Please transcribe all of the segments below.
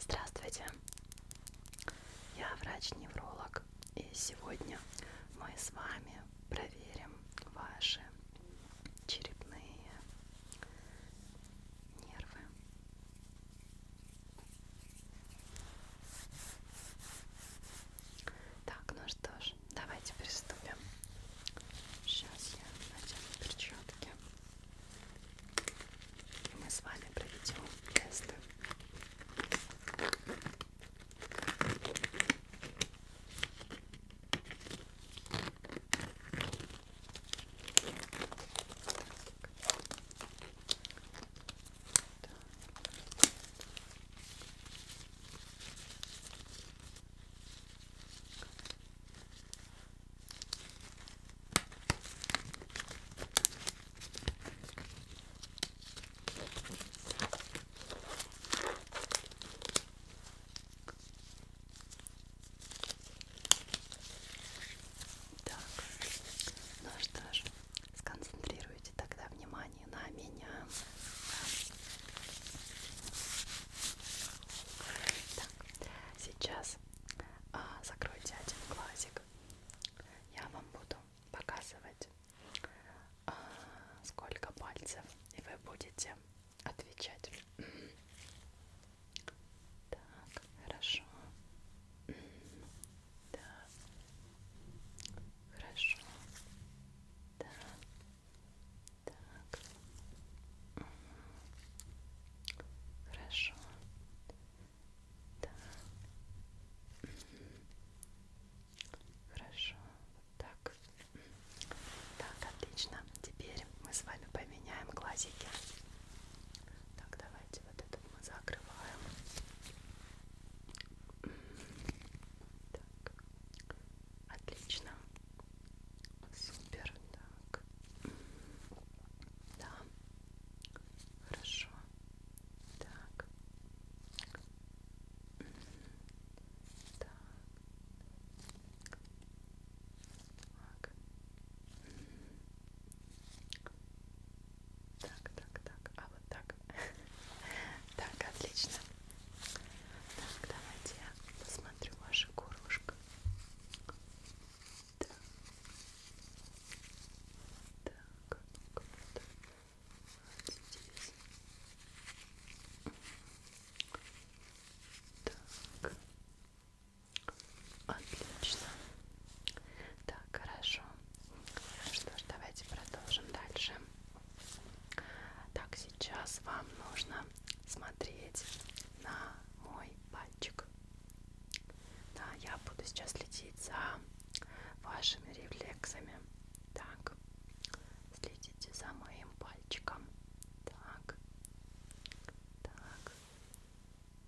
Здравствуйте, я врач-невролог, и сегодня мы с вами проверим ваши черепные нервы. Так, ну что ж, давайте приступим. Сейчас я надену перчатки. И мы с вами проведем тесты. Так. Так, ну что ж, сконцентрируйте тогда внимание на меня. Да. Так, сейчас а, закройте один глазик. Я вам буду показывать, а, сколько пальцев, и вы будете отвечать. Так, хорошо. Да. Хорошо. Да. Так. Хорошо. Так. Хорошо. Так. Так, отлично. Теперь мы с вами поменяем глазики. Так, давайте вот этот мы закрываем. Так. Отлично. Супер, так. Да. Хорошо. Так. Так. Так. Так, так, так. А вот так. так, отлично. Так, давайте я посмотрю ваше горлышко. Так. Так. Вот здесь. Так. Отлично. Так, хорошо. Что ж, давайте продолжим дальше. Так, сейчас вам нужно смотреть на мой пальчик. Да, я буду сейчас следить за вашими рефлексами. Так, следите за моим пальчиком. Так, так,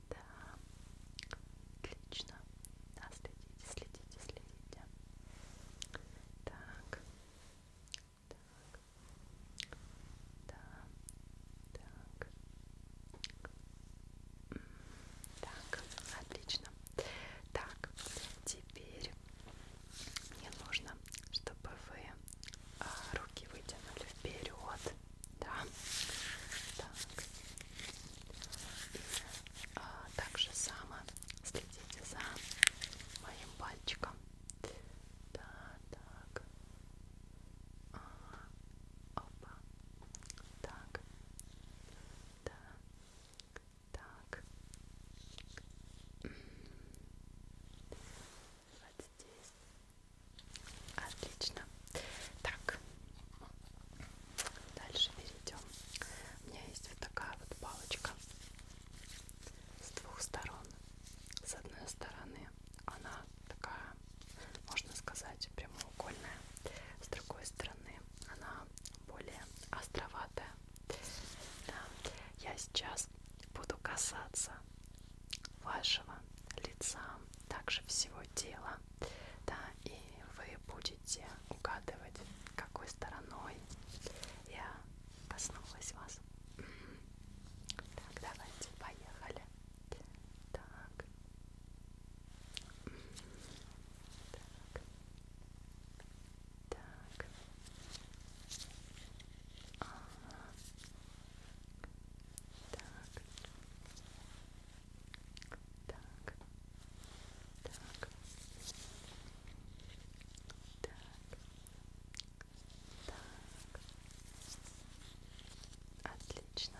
да, отлично. Да, следите, следите, следите. Так, так. Да. Так. Так, отлично. Так, теперь мне нужно, чтобы вы а, руки вытянули вперед. Да. Так. И а, так же само следите за моим пальчиком. Да, так. А, опа. Так. Да. Так. Вот здесь. Отлично. Так. Дальше перейдем. У меня есть вот такая вот палочка с двух сторон. С одной стороны она такая, можно сказать, прямоугольная. С другой стороны она более островатая. Да. Я сейчас буду касаться вашего лица, также всего тела. Да, и вы будете угадывать, какой стороной я коснулась вас. Так, давайте, поехали. Так. Так. Так. Ага. Так. Так. Так. Так. Так. Отлично.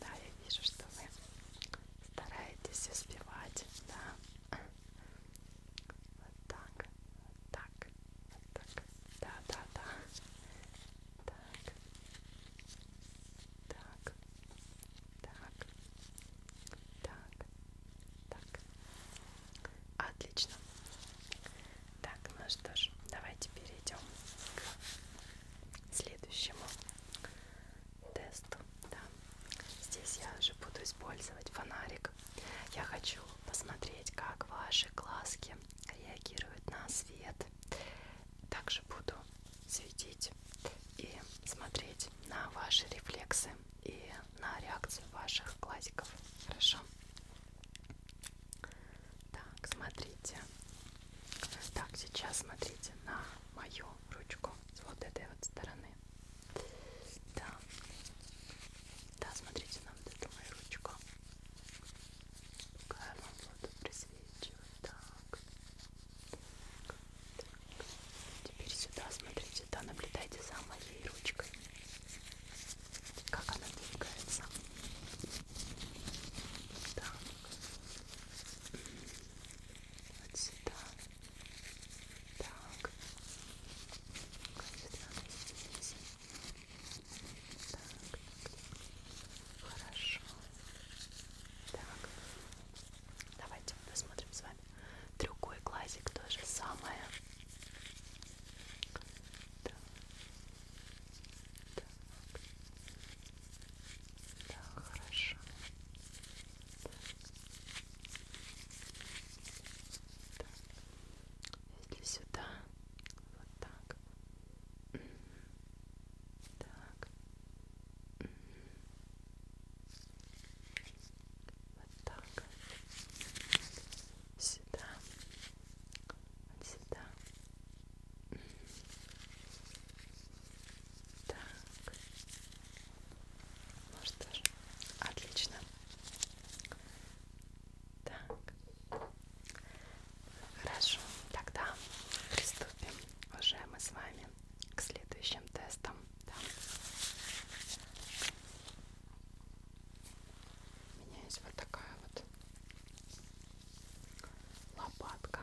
Да, я вижу, что вы стараетесь успевать, да. Вот так, вот так, вот так. Да, да, да. Так. Так. Так, так, так. Отлично. Так, ну что ж, давайте перейдем к следующему тесту. Да. Здесь я же буду использовать фонарик. Я хочу посмотреть, как ваши глазки реагируют на свет. Также буду светить и смотреть на ваши рефлексы и на реакцию ваших глазиков. Хорошо? Так, смотрите. Так, сейчас смотрите на мою ручку с вот этой вот стороны. Да. Да, смотрите на вот эту мою ручку. Какая вам воду просвечивает. Так. Теперь сюда, смотрите, да, наблюдайте за моей ручкой. Как она двигается. Так. Вот сюда. Так. Здесь. Так, так. Хорошо. Так. Давайте посмотрим с вами другой глазик то же самое. Так. Так. Да, хорошо. Так. Так. Если сюда, вот так. Так. Вот так. Сюда. Вот сюда. Так. Ну что ж, отлично. Так. Хорошо, тогда приступим. Уже мы с вами к следующим тестам. Да. У меня есть вот такая вот лопатка.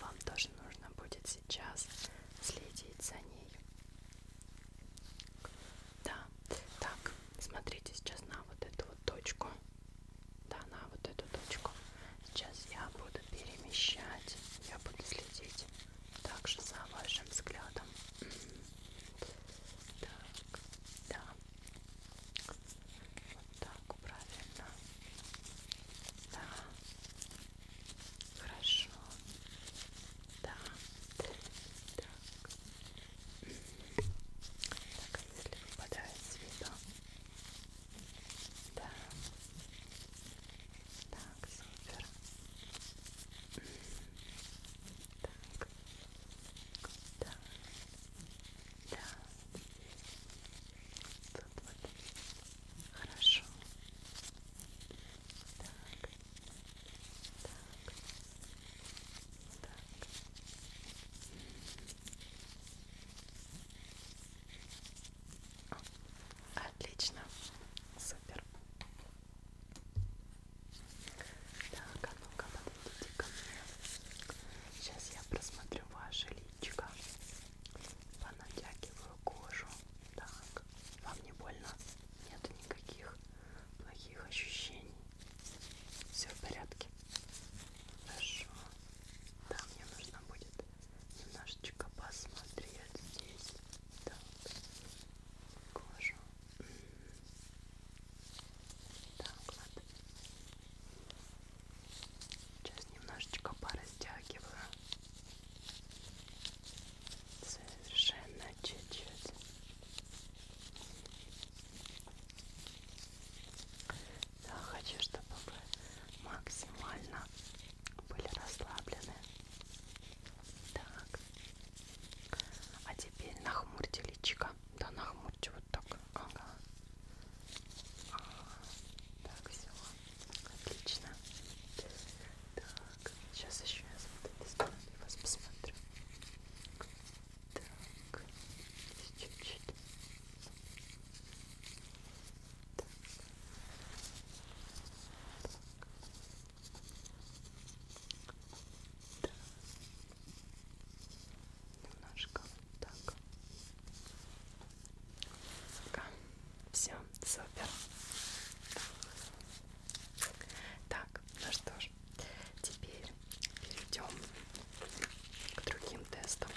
Вам тоже нужно будет сейчас следить за ней. Да, так, смотрите сейчас на вот эту вот точку. Да, на вот эту точку. Сейчас я буду перемещать, я буду следить также за вашим взглядом. Так, да. Вот так, правильно. Да. Хорошо. Да. Так. Так, а если выпадает с виду, да. Так, супер. Так. Да. Да. Тут вот. Хорошо. Так. Так. Так. Отлично, супер. Так, а ну-ка подойдите ко мне. Сейчас я просмотрю ваше личико. Понатягиваю кожу. Так, вам не больно? Нет никаких плохих ощущений. Все в порядке. Хорошо. Да, мне нужно будет немножечко посмотреть здесь так кожу так вот сейчас немножечко порастягиваю совершенно чуть-чуть я хочу, чтобы вы максимально были расслаблены. Так. А теперь нахмурьте личико. Да, нахмурьте вот так. Ага. А, так, все. Отлично. Так, сейчас еще я с вот этой стороны вас посмотрю. Так, чуть-чуть. Так. Так. Немножко вот так. Пока. Все, супер. Так, ну что ж, теперь перейдем к другим тестам.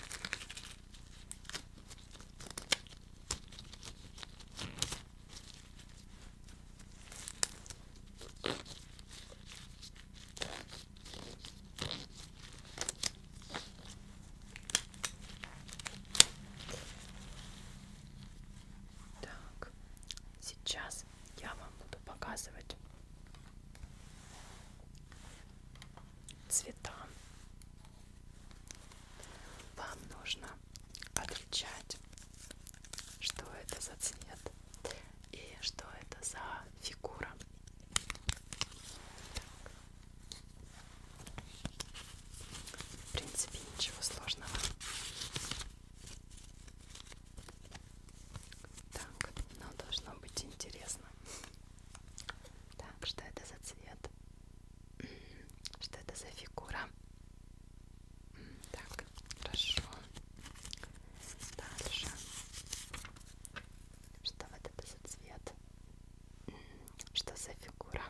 Так, сейчас я вам буду показывать цвета вам нужно отличать, что это за цвет и что это за фигура. В принципе, ничего сложного. Так, но должно быть интересно. Так, что это за цвет? Что это за фигура? Так, хорошо. Дальше. Что вот это за цвет? Что за фигура?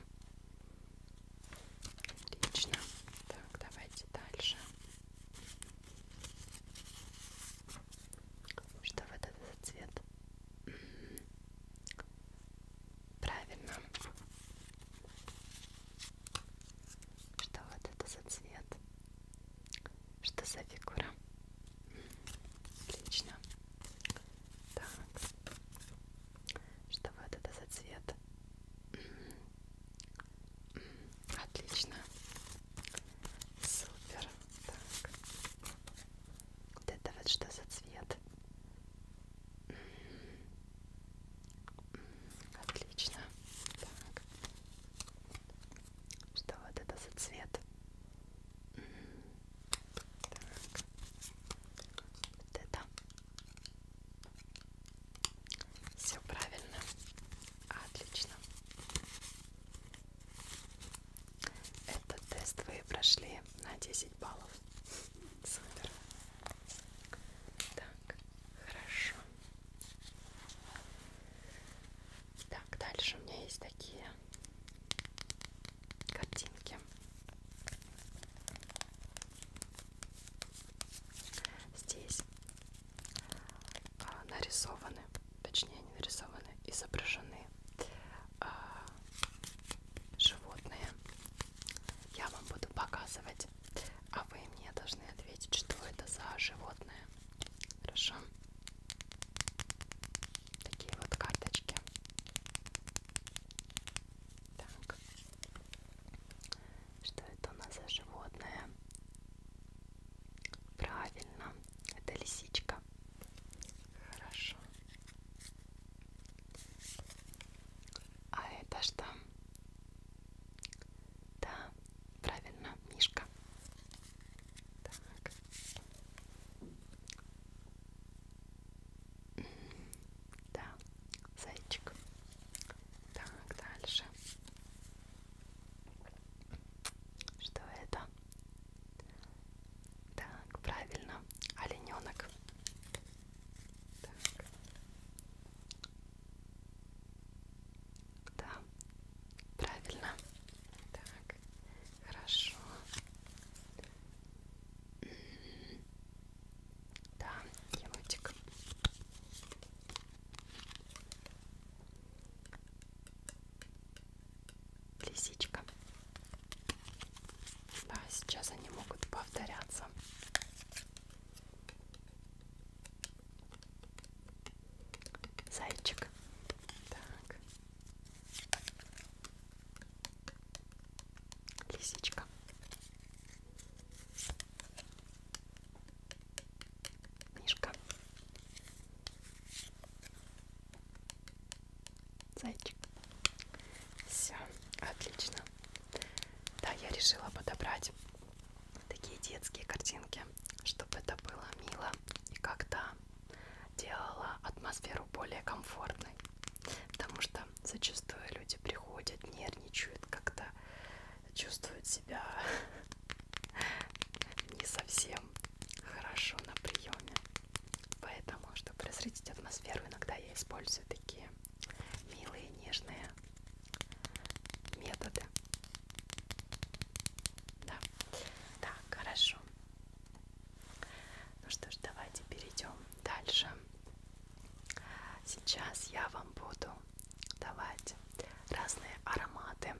Отлично. Так, давайте дальше. Что вот это за цвет? Правильно. Что вот это за цвет? Что за фигура? Отлично. Так. Что вот это за цвет? Отлично. Супер. Так. Вот это вот что за цвет? Отлично. Так. Что вот это за цвет? Так. Вот это. Все правильно. Отлично. Этот тест вы прошли на 10 баллов. Супер. Так, хорошо. Так, дальше у меня есть такие картинки. Здесь а, нарисованы точнее они нарисованы, изображены э, животные. Я вам буду показывать, а вы мне должны ответить, что это за животное. Хорошо? Такие вот карточки. Так. Что это у нас за животное? Правильно, это лисичка. Хорошо. А это что? Да, правильно, мишка. Так. Да, зайчик. Так, дальше. Что это? Так, правильно, олененок. Так. Да, правильно. Так, хорошо. Да, енотик лисичка. Да, сейчас они могут повторяться. Зайчик. Так. Лисичка. Мишка. Зайчик. Все, отлично. Да, я решила подобрать такие детские картинки, чтобы это было мило и как-то делала атмосферу более комфортной. Потому что зачастую люди приходят, нервничают, как-то чувствуют себя не совсем хорошо на приеме. Поэтому, чтобы разрядить атмосферу, иногда я использую такие милые, нежные методы. Да, так, хорошо. Ну что ж, давайте перейдем дальше. Сейчас я вам буду давать разные ароматы запахи.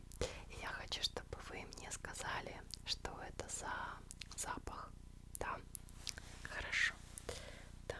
И я хочу, чтобы вы мне сказали, что это за запах. Да? Хорошо. Так.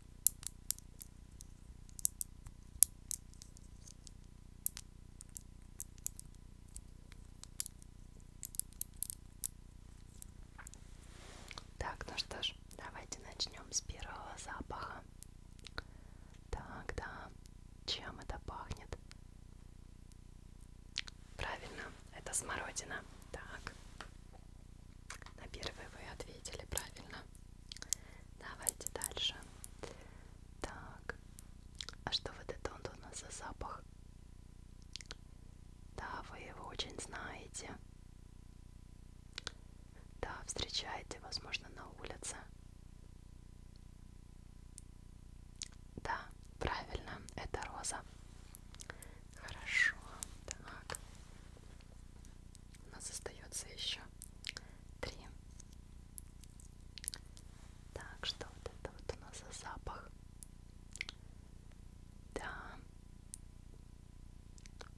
Так, ну что ж, давайте начнем с первого запаха. Так, да, чем это пахнет? Правильно, это смородина. Так, на первый вы ответили правильно. Давайте дальше. Так. А что вот это он у нас за запах? Да, вы его очень знаете. Да, встречаете, возможно, на улице. Да, правильно, это роза. Хорошо, так. У нас остается еще три. Так, что вот это вот у нас за запах? Да.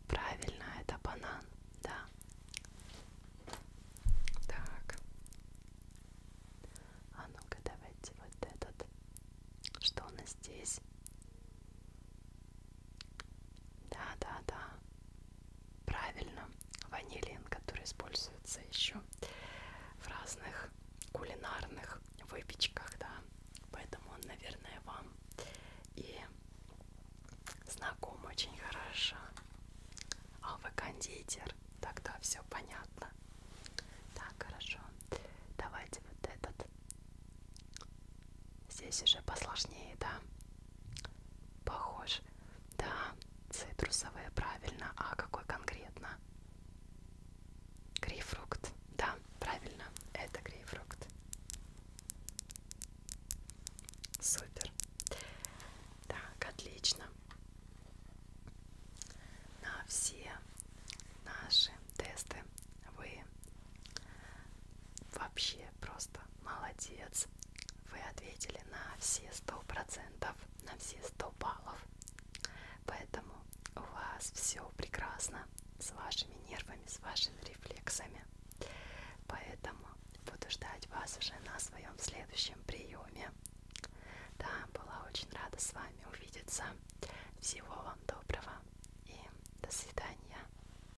Правильно, это банан, да. Так. А ну-ка, давайте вот этот. Что у нас здесь? Да, да, да. Правильно. Ванилин, который используется еще в разных кулинарных выпечках, да. Поэтому он, наверное, вам и знаком очень хорошо. А вы кондитер, тогда все понятно. Так, хорошо. Давайте вот этот Здесь уже посложнее, да? Похож. Да, цитрусовые, правильно. А какой конкретно? Грейпфрукт. Да, правильно. Это грейпфрукт. Супер. Так, отлично. На все наши тесты вы вообще София, просто молодец. Вы ответили на все сто процентов, на все сто баллов. Поэтому у вас все прекрасно с вашими нервами, с вашими рефлексами. Поэтому буду ждать вас уже на своем следующем приеме. Да, была очень рада с вами увидеться. Всего вам доброго и до свидания.